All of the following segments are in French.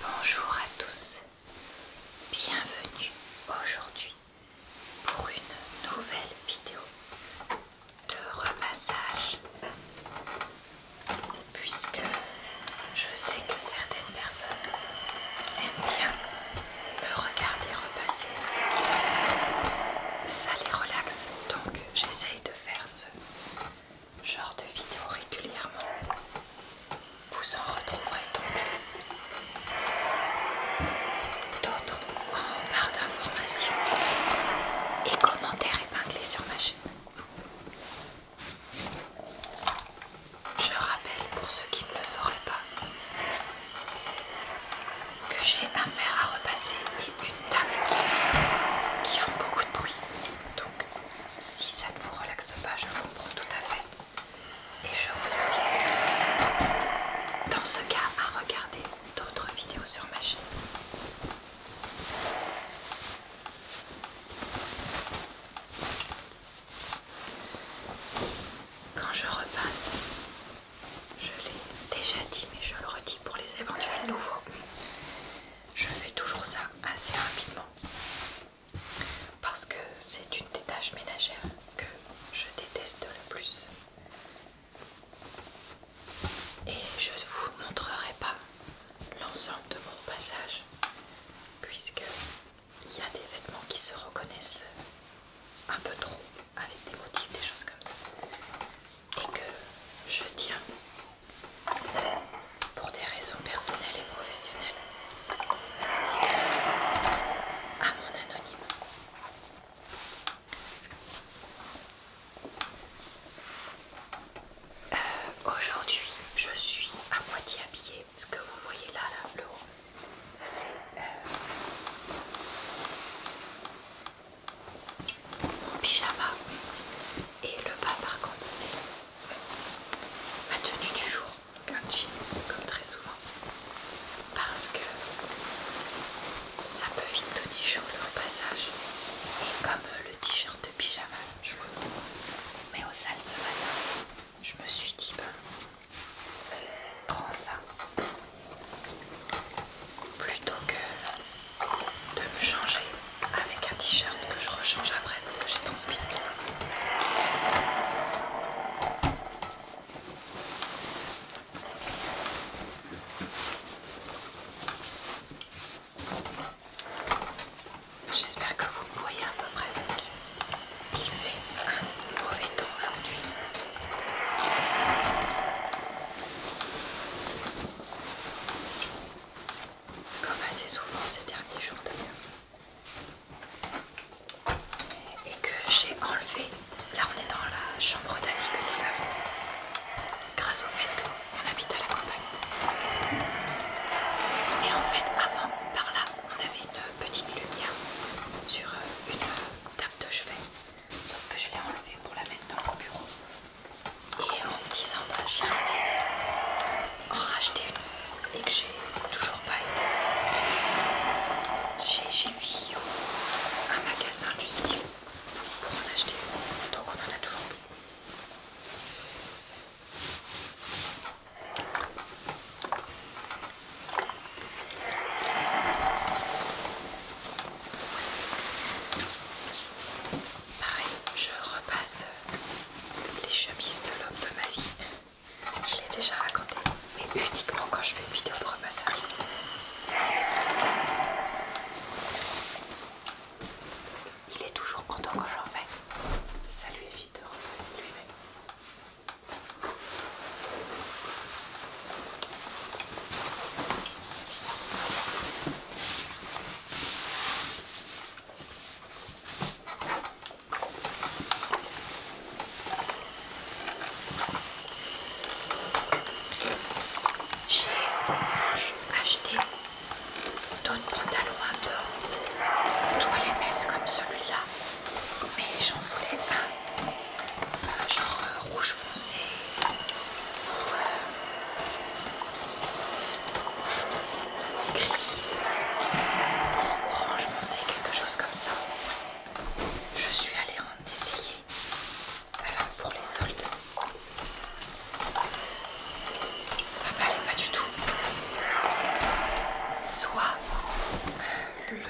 Bonjour à tous, bienvenue aujourd'hui pour une nouvelle vidéo de repassage puisque je sais que certaines personnes aiment bien me regarder repasser, ça les relaxe donc j'essaye de faire ce genre de vidéos régulièrement. Vous en retrouverez donc d'autres en barre d'informations et commentaires épinglés sur ma chaîne. Je rappelle pour ceux qui ne le sauraient pas que j'ai un fer à repasser et une table qui font beaucoup de bruit. Donc si ça ne vous relaxe pas, je comprends tout à fait. Et je vous invite dans ce cas à regarder d'autres vidéos sur ma chaîne. Quand je repasse, je l'ai déjà dit, mais je le redis pour les éventuels nouveaux, je fais toujours ça assez rapidement parce que c'est une des tâches ménagères que je déteste le plus. Et je ne vous montrerai pas l'ensemble de mon passage, puisque il y a des vêtements qui se reconnaissent un peu trop avec des motifs, des choses comme ça, et que je tiens pour des raisons personnelles et professionnelles, à mon anonyme. Euh, aujourd'hui, je suis à moitié à pied Ce que vous voyez là, là le haut, c'est mon euh, pyjama. Et le bas, par contre, c'est ma tenue du jour, comme très souvent, parce que ça peut vite donner chaud au passage. Et comme le t-shirt de pyjama, je le mets au sale ce matin, je me suis dit, ben, prends ça. Plutôt que de me changer avec un t-shirt que je rechange après parce que j'ai transpiré. J'espère que vous me voyez à peu près parce qu'il fait un mauvais temps aujourd'hui comme assez souvent ces derniers jours d'ailleurs, et que j'ai enlevé. Là, on est dans la chambre d'amis que nous avons, grâce au fait qu'on habite à la campagne. Et en fait, avant, par là, on avait une petite lumière sur euh, une table de chevet, sauf que je l'ai enlevée pour la mettre dans mon bureau et en me disant que j'ai en racheté et que j'ai toujours pas été j'ai eu un magasin du style pour en acheter donc on en a toujours Pareil, je repasse les chemises de l'homme de ma vie. Je l'ai déjà raconté, mais uniquement quand je fais une vidéo de repassage. Il est toujours content quand j'en fais. Ça lui évite de repasser lui-même. J'ai acheté acheter d'autres pantalons à je les messes comme celui-là, mais j'en voulais un euh, genre euh, rouge foncé euh, gris, orange foncé, quelque chose comme ça. Je suis allée en essayer pour les soldes. Ça ne m'allait pas du tout. Soit le,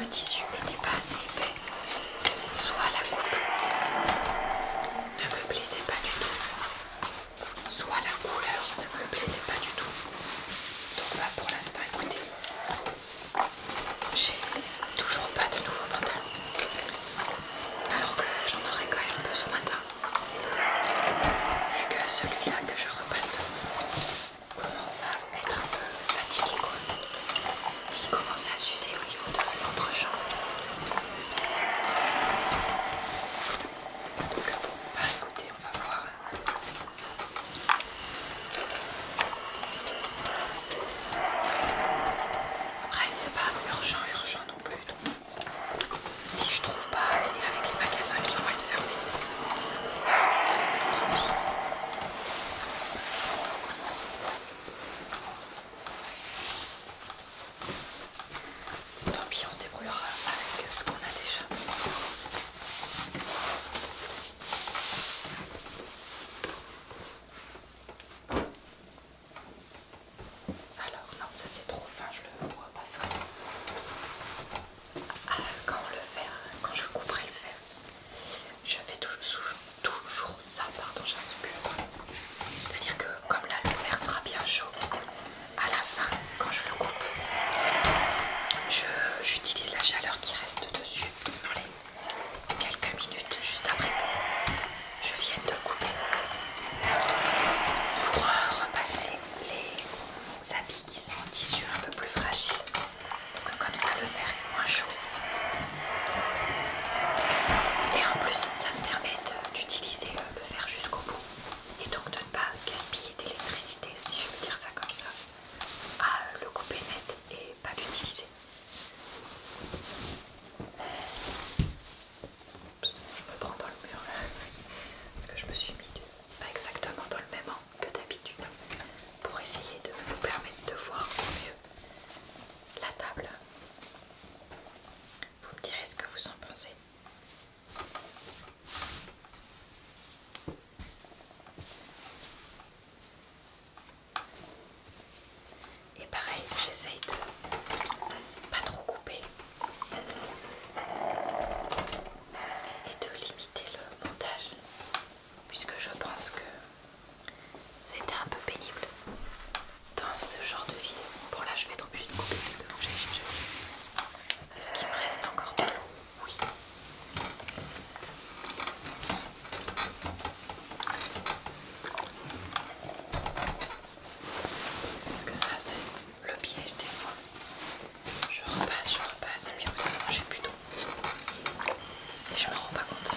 le tissu n'était pas assez épais, soit la coupe ne me plaisait pas du tout soit la couleur ne me plaisait pas du tout. Donc là bah, pour l'instant écoutez, j'ai toujours pas de nouveau pantalon. Alors que j'en aurais quand même un peu ce matin. Vu que celui-là que je repasse commence à être un peu fatigué il commence à s'user au niveau de l'entrejambe. Donc bon, bah écoutez, on va voir. Après, c'est pas urgent, urgent non plus. si je trouve pas, avec les magasins qui vont être fermés, tant pis. Tant pis, on se débrouillera avec ce qu'on a déjà. Alors, non, ça c'est trop fin, je le repasserai. Ah, quand le verre, quand je couperai le verre, je fais toujours, ça, pardon, j'arrive plus C'est-à-dire que comme là le verre sera bien chaud, à la fin, quand je le coupe, j'utilise la chaleur qui reste dessus dans les quelques minutes juste après je viens de le couper pour repasser les habits qui sont en un peu plus fragile parce que comme ça le fer est moins chaud et en plus ça me permet d'utiliser le fer jusqu'au bout et donc de ne pas gaspiller d'électricité, si je veux dire ça comme ça, à euh, le couper net et pas l'utiliser. Je me prends dans le mur là, parce que je me suis mis pas exactement dans le même angle que d'habitude pour essayer de vous permettre de voir au mieux la table. Vous me direz ce que vous en pensez. Et pareil, j'essaye de pas trop couper et de limiter le montage puisque je pense que c'était un peu pénible dans ce genre de vie. Bon là je vais trop vite. de couper les deux Est-ce qu'il me reste encore de l'eau Oui. Parce que ça c'est le piège des fois. Je repasse, je repasse, et bien que de manger plus d'eau. Et je me rends pas compte.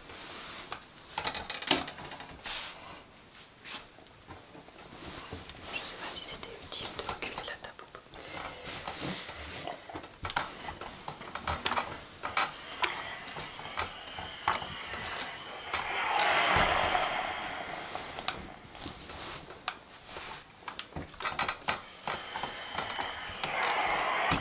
Je ne sais pas si c'était utile de reculer la table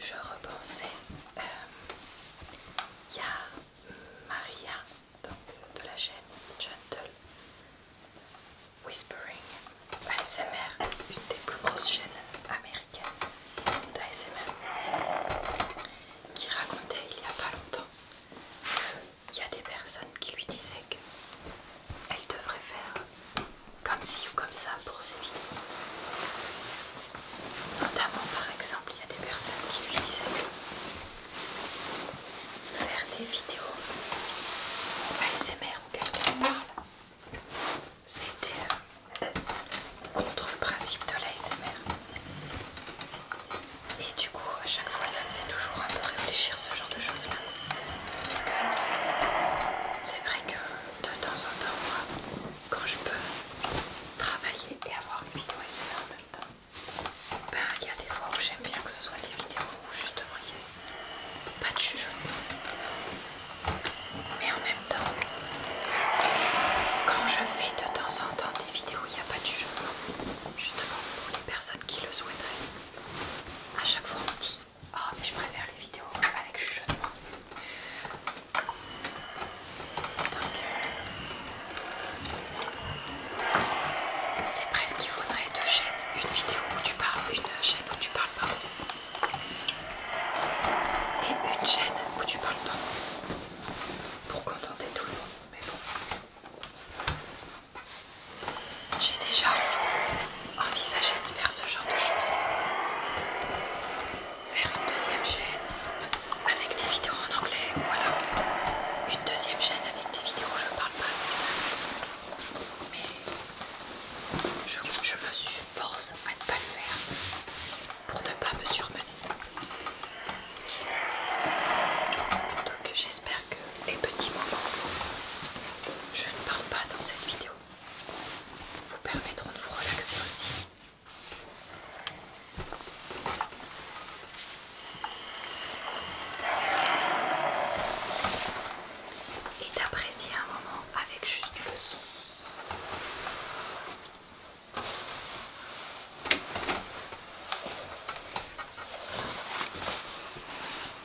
je repensais, euh, il y a Maria de la chaîne Gentle Whispering ASMR, une des plus grosses chaînes américaines d'ASMR, qui racontait il n'y a pas longtemps qu'il y a des personnes qui lui disaient qu'elle devrait faire comme si ou comme ça pour vidéos. Notamment par exemple, il y a des personnes qui lui disaient faire des vidéos ASMR où quelqu'un parle. C'était euh, contre le principe de l'ASMR. Et du coup, à chaque fois, ça me fait toujours un peu réfléchir ce genre de choses-là. Parce que c'est vrai que de temps en temps, moi, quand je peux travailler et avoir une vidéo SMR en même temps, ben, il y a des fois où j'aime bien que ce soit des vidéos où justement il n'y a pas de jugement. Mais en même temps, quand je fais de temps en temps des vidéos il n'y a pas de jugement, justement pour les personnes qui le souhaiteraient, à chaque fois on dit Oh, mais je préfère les vidéos avec chuchotement. c'est presque qu'il faudrait deux chaînes, une vidéo où tu parles, une chaîne où tu parles pas, et une chaîne où tu parles pas, pour contenter tout le monde. Mais bon, j'ai déjà envisager de faire ce genre de choses. Faire une deuxième chaîne avec des vidéos en anglais, voilà. Une deuxième chaîne avec des vidéos où je parle pas Mais je, me suis force à ne pas le faire pour ne pas me surmener. Donc j'espère que les petits moments je ne parle pas dans cette vidéo vous permettront de vous relaxer aussi. Et d'apprécier un moment avec juste le son.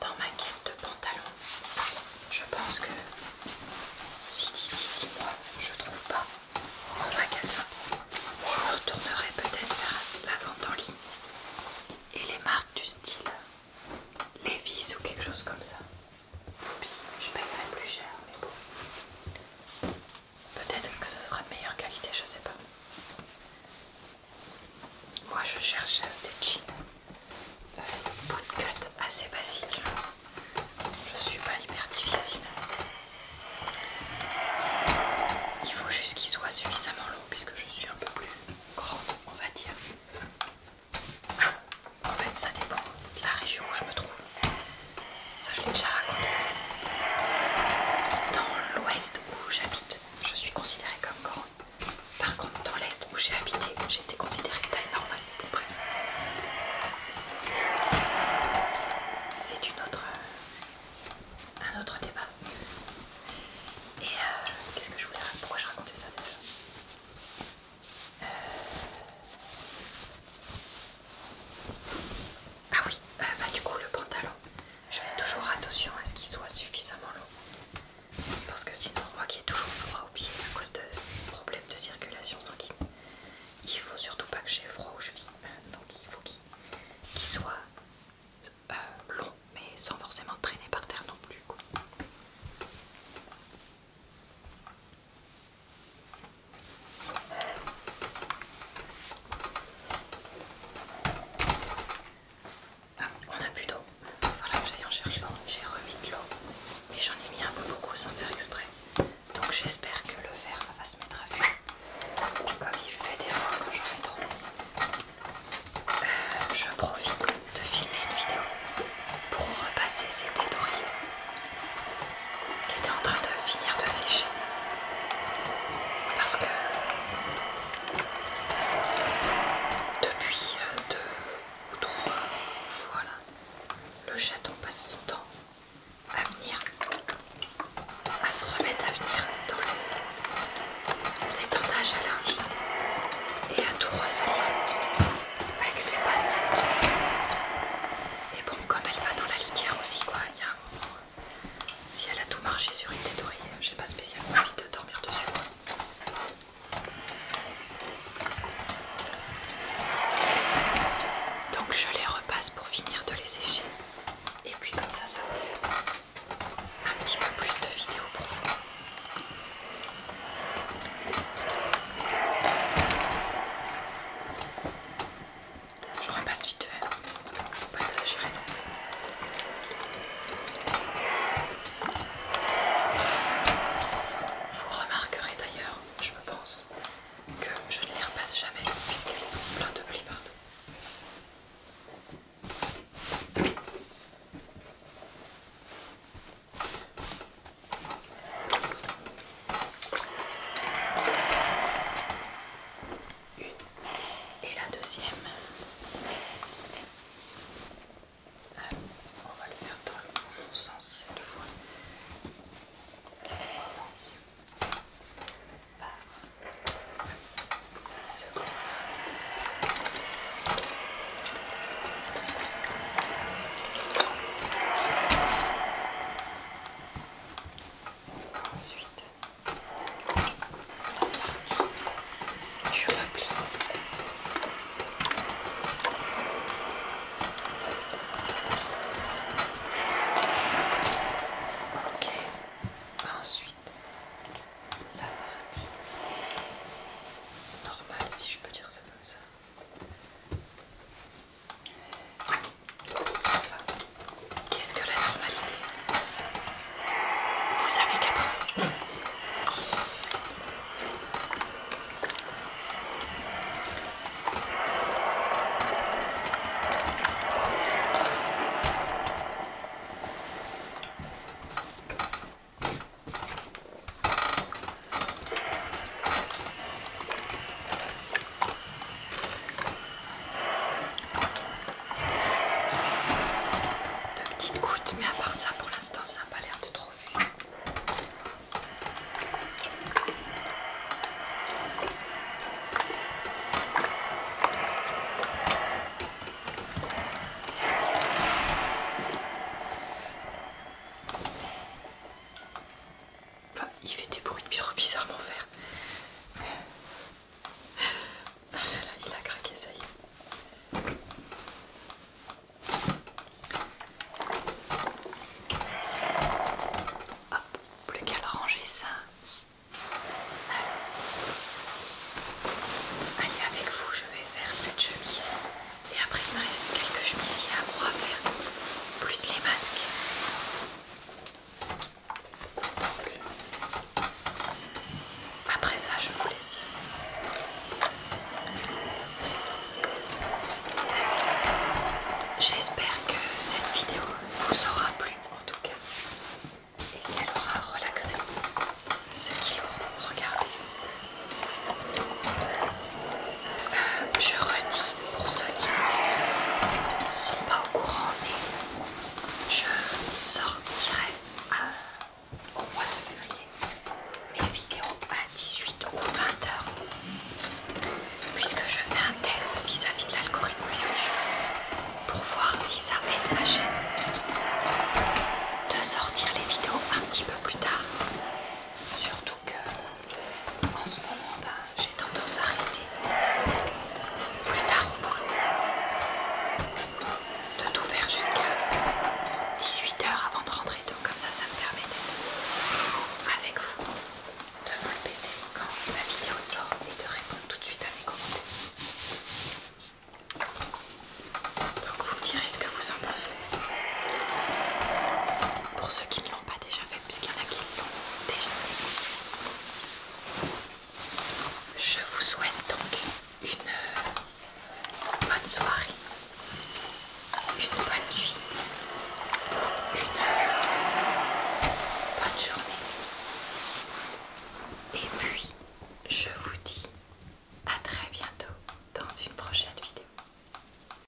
Dans ma quête de pantalon, je pense que si d'ici 6 mois je trouve pas mon magasin, je me retournerai peut-être vers la vente en ligne et les marques du style Levi's ou quelque chose comme ça. je paierai plus cher, mais bon. Peut-être que ce sera de meilleure qualité, je sais pas. Moi je cherche des jeans de euh, bootcut assez basiques. Je ne suis pas hyper difficile. Il faut juste qu'il soit suffisamment long puisque je suis un peu plus grande, on va dire. En fait, ça dépend de la région où je me trouve. Ça, je l'ai déjà raconté. Dans l'ouest où j'habite, je suis considérée comme grande. Par contre, dans l'est où j'ai habité, j'étais considérée taille normale, à peu près. C'est une autre, euh, un autre débat. Et euh, qu'est-ce que je voulais raconter Pourquoi je racontais ça euh, ah oui, euh, bah, du coup le pantalon, je fais toujours attention à ce qu'il soit suffisamment long. Parce que sinon moi qui ai toujours froid aux pieds à cause de problèmes de circulation sanguine, il faut surtout pas que j'ai froid aux chevilles, Donc il faut qu'il soit euh, long mais sans forcément traîner par terre non plus. Ah, on a plus d'eau. Voilà que j'aille en chercher. J'ai remis de l'eau, mais j'en ai mis un peu beaucoup sans faire exprès. Donc j'espère que le verre va se mettre à vue. Comme il fait des fois quand j'en ai trop. Euh, je profite de filmer une vidéo pour repasser ces dorées qui était en train de finir de sécher parce que depuis euh, deux ou trois fois le chaton passe son temps à venir à se remettre à venir dans le, ses à linge et à tout ressalir avec ses pattes et bon, comme elle va dans la litière aussi, quoi, il y a un moment. Euh, si elle a tout marché sur une tête hein, je j'ai pas spécialement envie de dormir dessus. Donc je les repasse pour finir de les sécher. Et puis comme ça, ça va faire un petit peu plus de vidéos pour vous. Je repasse vite fait, faut pas exagérer. Vous remarquerez d'ailleurs, je me pense, que je ne les repasse jamais puisqu'elles sont pleines de plis partout. Une et la deuxième. Euh, on va le faire dans le bon sens cette fois. Ensuite, la partie du repli. Ok. Ensuite, la partie normale, si je peux dire ça comme ça. Qu'est-ce que la normalité Vous avez 4 ans. De petites gouttes, mais à part ça, pour l'instant, ça n'a pas l'air de trop fuir. Enfin, bah, il fait des bruits trop bizarrement faire. Ah là là, il a craqué, ça y est. Hop, plus qu'à le ranger ça. Allez, avec vous, je vais faire cette chemise. Et après, il me reste quelques chemisiers à moi à faire plus les masques. après ça, je vous laisse. J'espère que cette vidéo vous aura plu en tout cas et qu'elle aura relaxé ceux qui l'auront regardé je redis pour ceux qui ne sont pas au courant, mais je sortirai au mois de février mes vidéos à 18 ou 20 heures, puisque je fais un test vis-à-vis -vis de l'algorithme YouTube pour voir si ça aide ma chaîne de sortir les vidéos un petit peu plus tard. Surtout que en ce moment, là ben, j'ai tendance à rester plus tard au boulot. De tout faire jusqu'à 18h avant de rentrer, donc comme ça, ça me permet d'être avec vous devant le PC quand la vidéo sort et de répondre tout de suite à mes commentaires. Donc vous me direz ce que vous en pensez. Pour ceux qui ne l'ont pas déjà fait puisqu'il y en a qui l'ont déjà je vous souhaite donc une euh, bonne soirée une bonne nuit une bonne journée et puis je vous dis à très bientôt dans une prochaine vidéo